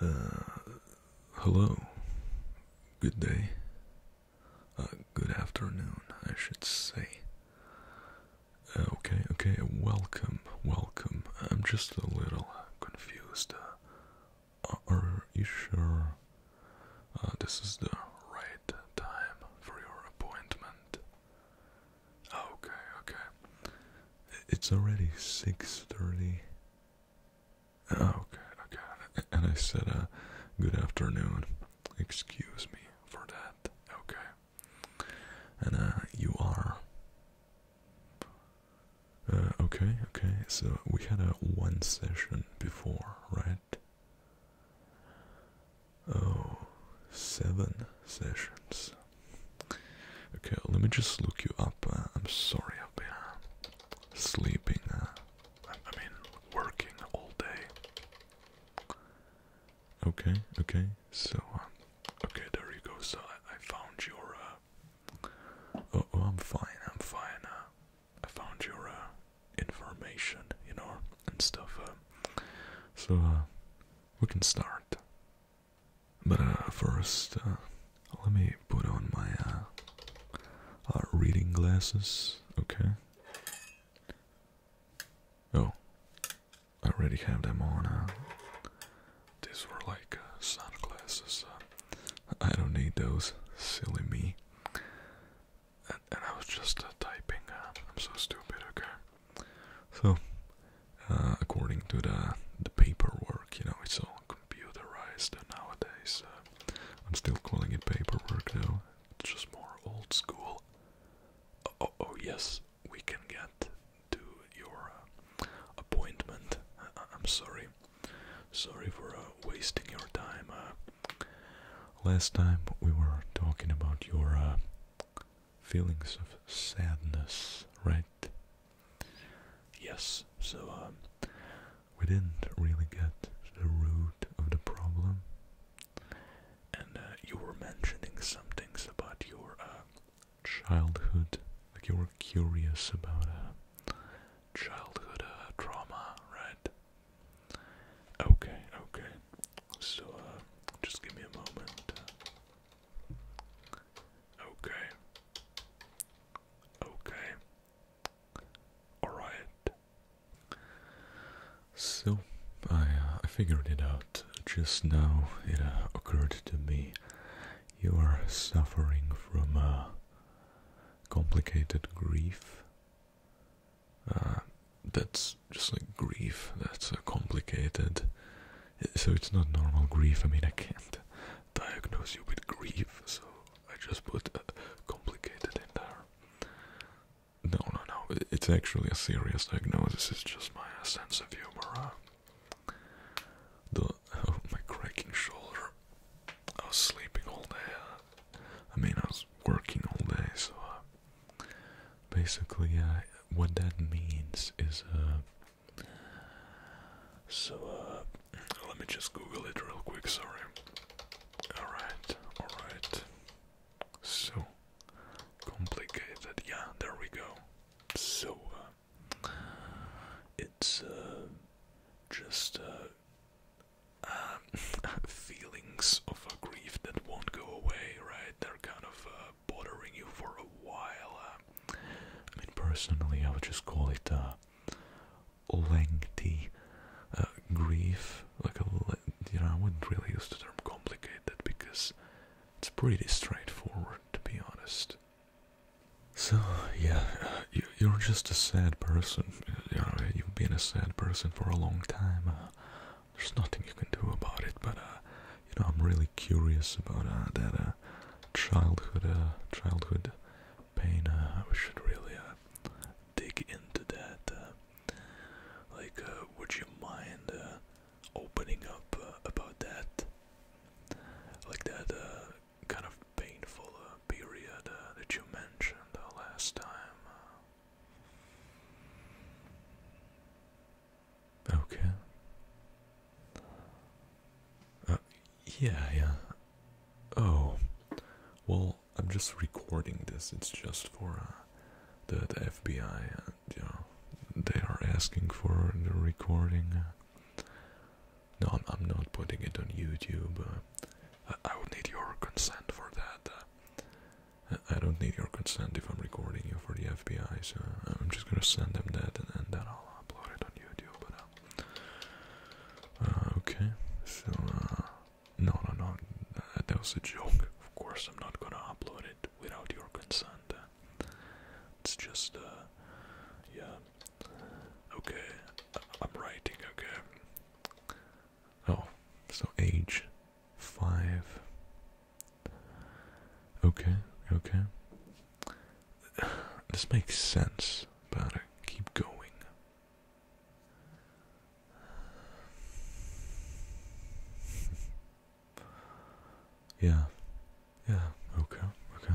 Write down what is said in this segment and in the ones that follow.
Uh, hello. Good day. Uh, good afternoon, I should say. Uh, okay, okay, welcome, welcome. I'm just a little confused. are you sure this is the right time for your appointment? Okay, okay. It's already six thirty. Oh, okay, okay. And I said, uh, good afternoon. Excuse me for that. Okay. And uh, you are. Uh, okay, okay. So we had a one session before, right? Oh, seven sessions. Okay, let me just look you up. Uh, I'm sorry, I've been uh, sleeping. Uh, I, mean, working all day. Okay, okay. So, okay, there you go. So I, found your. Oh, oh, I'm fine. I'm fine. Uh, I found your information, you know, and stuff. so we can start. But uh, first, uh, let me put on my uh, reading glasses, okay? Oh, I already have them on. these were like uh, sunglasses. I don't need those, silly me. And, I was just typing. I'm so stupid, okay? So, uh, according to the the paperwork, you know, it's all computerized nowadays. Uh, I'm still calling it paperwork though. It's just more old school. Oh, oh, oh yes, we can get to your uh, appointment. I am sorry. Sorry for wasting your time. last time we were talking about your feelings of sadness, right? Yes, so um, we didn't really get the root of the problem. And uh, you were mentioning some things about your uh, childhood, like you were curious about uh, childhood uh, trauma, right? Okay, okay. So, uh, just give me a moment. Okay. Okay. Alright. So, I, uh, I figured it out just now. It uh, occurred to me you are suffering from a uh, complicated grief that's just like grief that's uh, complicated so it's not normal grief i mean i can't diagnose you with grief so i just put uh, complicated in there no no no it's actually a serious diagnosis it's just my uh, sense of humor uh. the oh, my cracking shoulder i was sleeping all day i mean i was working all day so uh, basically, what that means is, uh, so, uh, let me just Google it real quick, sorry. Alright, alright. So, complicated, yeah, there we go. So, uh, it's, just, feelings of a grief that won't go away, right? They're kind of, bothering you for a while. Uh, I mean, personally, I would just call it a uh, lengthy uh, grief. Like, a, you know, I wouldn't really use the term complicated because it's pretty straightforward, to be honest. So, yeah, you, are just a sad person. You know, you've been a sad person for a long time there's nothing you can do about it. But uh, you know, I'm really curious about uh, that uh, childhood childhood pain. Uh, we should really dig into that. like, would you mind opening up about that? Like that kind of painful period that you mentioned last time. Okay. Uh, yeah, yeah. Oh, well, I'm just recording this. It's just for uh, the, FBI. And, uh, you know, they are asking for the recording. No, I'm, not putting it on YouTube. I, would need your consent for that. I don't need your consent if I'm recording you for the FBI, so I'm just gonna send them that and, then I'll upload it on YouTube. But, uh, uh, okay, so uh, no, no, no, that was a joke. Of course, I'm not gonna upload it without your consent. It's just, yeah, okay, I'm writing, okay. Oh, so age five. Okay, okay. This makes sense, but I keep going. yeah, yeah, okay, okay.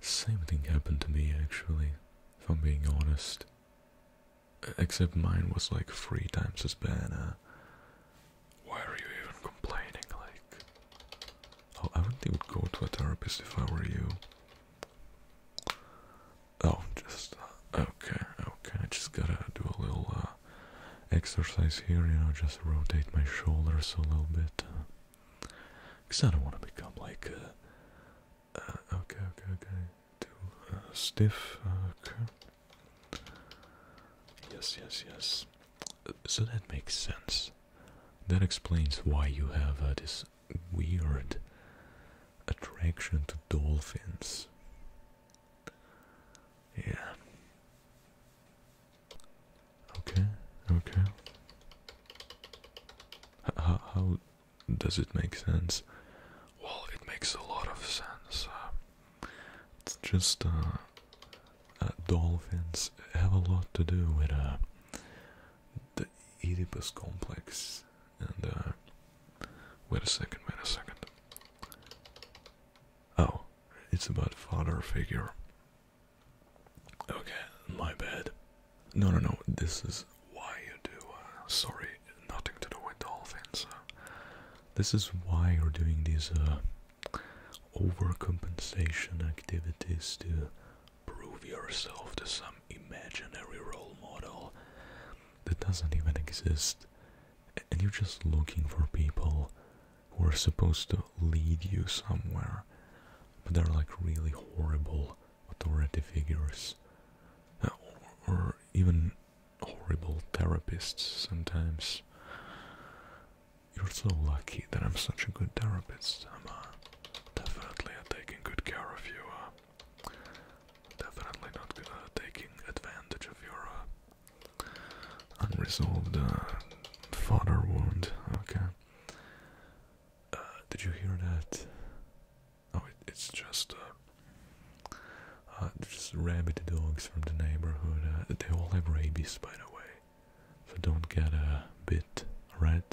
Same thing happened to me actually, if I'm being honest. Except mine was like three times as bad. Uh. why are you even complaining? Like, oh, I wouldn't even go to a therapist if I were you. Oh, just uh, okay, okay. I just gotta do a little uh, exercise here. You know, just rotate my shoulders a little bit. Cause I don't want to become like uh, uh, okay, okay, okay. Too uh, stiff. Uh, okay. Yes, yes, yes. So that makes sense. That explains why you have uh, this weird attraction to dolphins. Yeah. Okay, okay. how does it make sense? Well, it makes a lot of sense. Uh, it's just uh, uh, dolphins have a lot to do with the Oedipus complex. And wait a second, wait a second. Oh, it's about father figure. Okay, my bad. No, no, no. This is why you do. Uh, sorry, nothing to do with dolphins. this is why you're doing these uh, overcompensation activities to prove yourself to some imaginary role model that doesn't even exist, and you're just looking for people who are supposed to lead you somewhere, but they're like really horrible authority figures, uh, or, or even horrible therapists sometimes. You're so lucky that I'm such a good therapist. I'm uh, definitely taking good care of you. Uh. definitely not gonna taking advantage of your uh, unresolved father wound. Okay. did you hear that? Oh, it's just uh, uh, just rabid dogs from the neighborhood. Uh, they all have rabies, by the way. So don't get a bit red.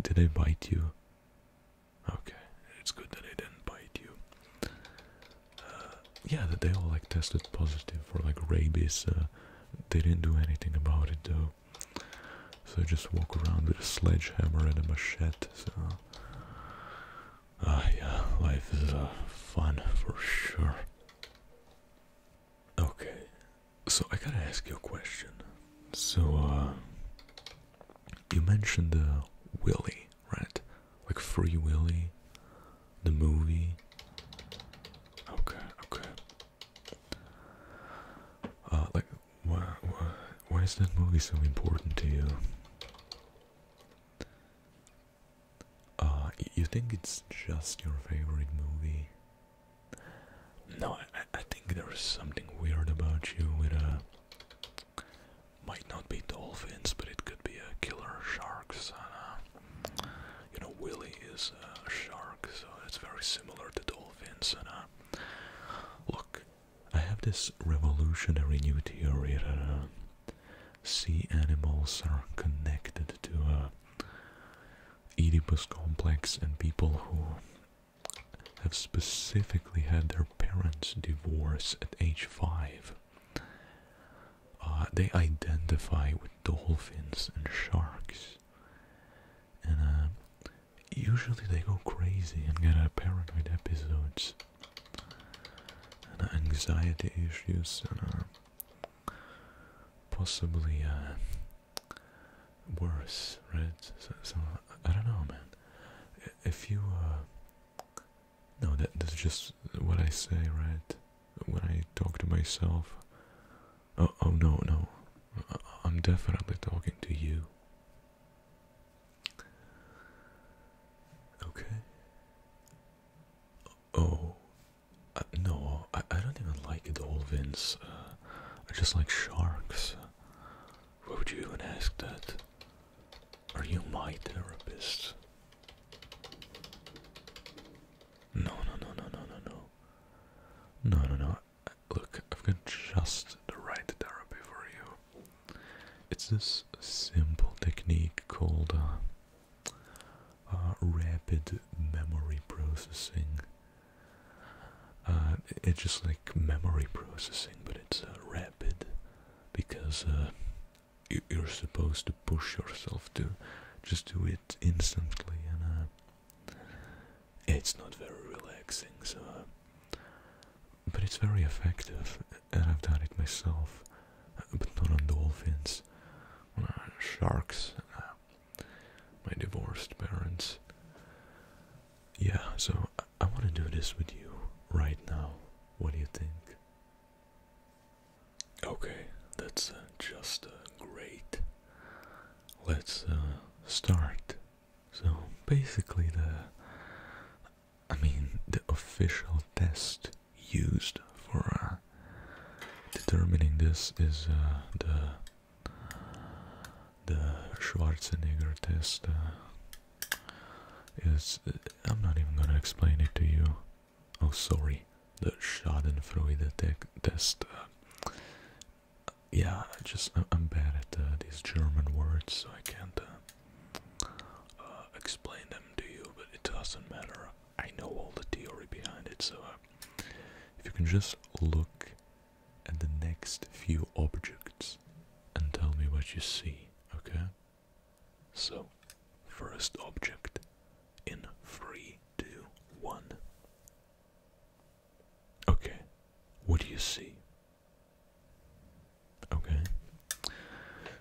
Did they bite you? Okay, it's good that they didn't bite you. yeah, that they all like tested positive for like rabies. they didn't do anything about it though. So I just walk around with a sledgehammer and a machete. So, ah, yeah, life is uh, fun for sure. Okay, so I gotta ask you a question. So, uh, you mentioned the Willy, right? Like Free Willie, the movie. Okay, okay. Uh, like, why, why, why is that movie so important to you? Uh, you think it's just your favorite movie? No, I, I think there's something weird about you with a... Uh, might not be dolphins, but it could be a killer sharks. And, uh, you know, Willie is a shark, so it's very similar to dolphins. And uh, look, I have this revolutionary new theory that uh, sea animals are connected to a uh, Oedipus complex and people who have specifically had their parents divorce at age five. Uh, they identify with dolphins and sharks, and usually they go crazy and get uh, paranoid episodes and anxiety issues and uh, possibly uh, worse, right? So, I don't know, man. If you uh, no, that that's just what I say, right? When I talk to myself. oh, oh no, no. I'm definitely talking to you. Okay. Oh, uh, no, I, I don't even like dolphins. Uh, I just like sharks. Why would you even ask that? Are you my therapist? No, no, no, no, no, no, no. No, no, no look, I've got just the right therapy for you. It's this simple technique called uh, uh, rapid memory processing. Uh, it's just like memory processing, but it's rapid because you, are supposed to push yourself to just do it instantly and it's not very relaxing, so. Uh, but it's very effective, and I've done it myself, but not on dolphins, uh, sharks, uh, my divorced parents. Yeah, so I, want to do this with you right now. What do you think? Okay, that's just great let's uh, start. So basically, the I mean the official test used for uh, determining this is uh, the the Schwarzenegger test. is I'm not even gonna explain it to you. Oh, sorry, the Schadenfreude test yeah, I just I'm bad at uh, these German words, so I can't uh, uh, explain them to you. But it doesn't matter. I know all the theory behind it. So if you can just look at the next few objects and tell me what you see, okay? So, first object in three, two, one. Okay, what do you see? Okay,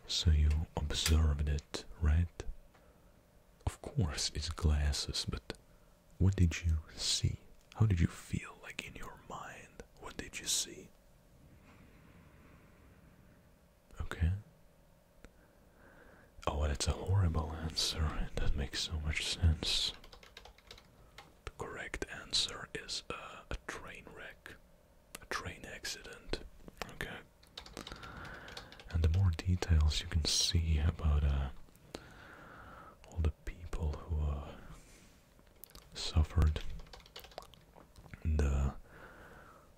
so you observed it, right? Of course, it's glasses, but what did you see? How did you feel like in your mind? What did you see? Okay. Oh, well, it's a horrible answer. That makes so much sense. The correct answer is uh, a train wreck, a train accident. Okay. And the more details you can see about uh, all the people who uh, suffered, the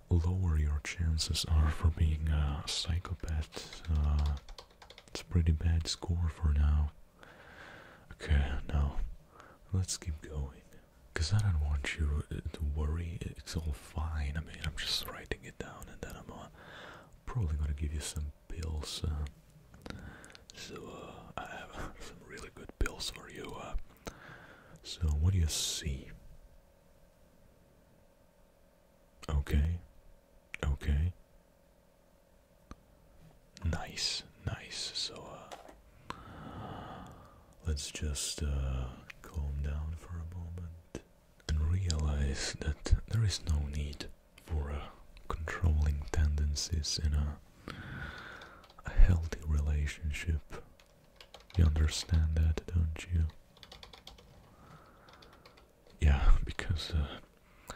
lower your chances are for being a psychopath. Uh, it's a pretty bad score for now. Okay, now let's keep going. Because I don't want you uh, to worry, it's all fine. I mean, I'm just writing it down and then I'm uh, probably gonna give you some pills. Uh, so, I have some really good pills for you. so, what do you see? Okay, okay. Nice, nice. So uh, let's just uh, calm down for a moment and realize that there is no need for uh, controlling tendencies in a healthy relationship. You understand that, don't you? yeah, because uh,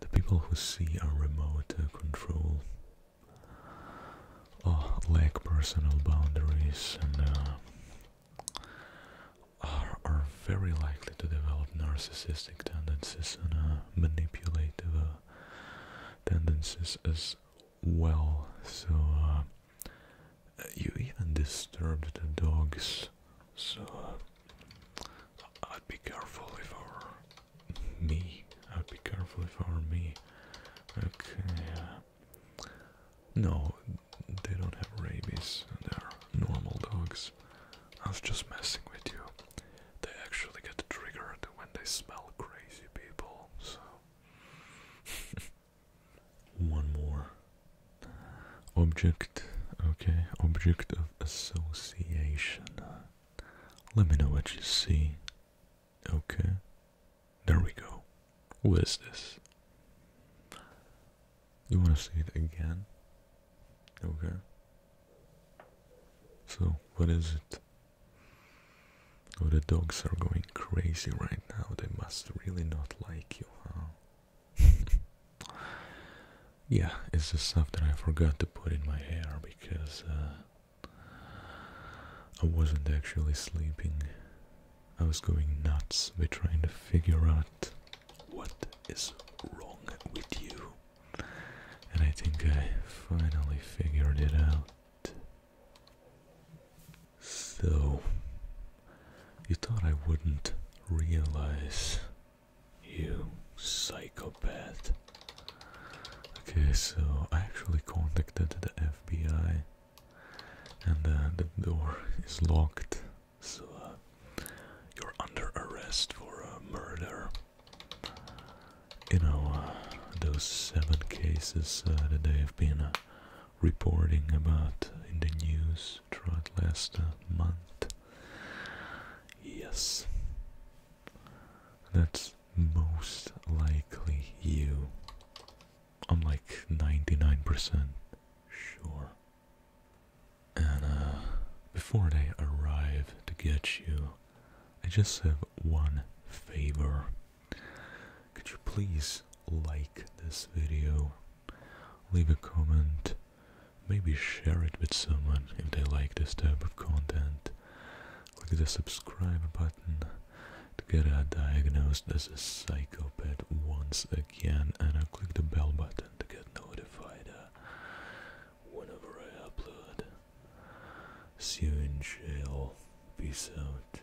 the people who see our remote uh, control oh, lack personal boundaries and are, are very likely to develop narcissistic tendencies and manipulative tendencies as well. So, you even disturbed the dogs, so uh, I'd be careful if I were me. I'd be careful if I me. Okay. Uh, no, they don't have rabies. They're normal dogs. I was just messing with you. They actually get triggered when they smell crazy people, so. one more object okay object of association let me know what you see okay there we go what is this you want to see it again okay so what is it Oh, the dogs are going crazy right now. They must really not like you, huh? yeah, it's the stuff that I forgot to put in my hair because uh, I wasn't actually sleeping. I was going nuts by trying to figure out what is wrong with you. And I think I finally figured it out. So, you thought I wouldn't realize, you psychopath. Okay, so I actually contacted the FBI, and uh, the door is locked, so uh, you're under arrest for a murder. You know, uh, those seven cases that they have been reporting about in the news throughout last uh, month. Yes, that's most likely you. I'm like 99% sure. And uh, before they arrive to get you, I just have one favor. Could you please like this video, leave a comment, maybe share it with someone if they like this type of content. Click the subscribe button to get diagnosed as a psychopath once again, and uh, click the bell button to get notified uh, whenever I upload. See you in jail. Peace out.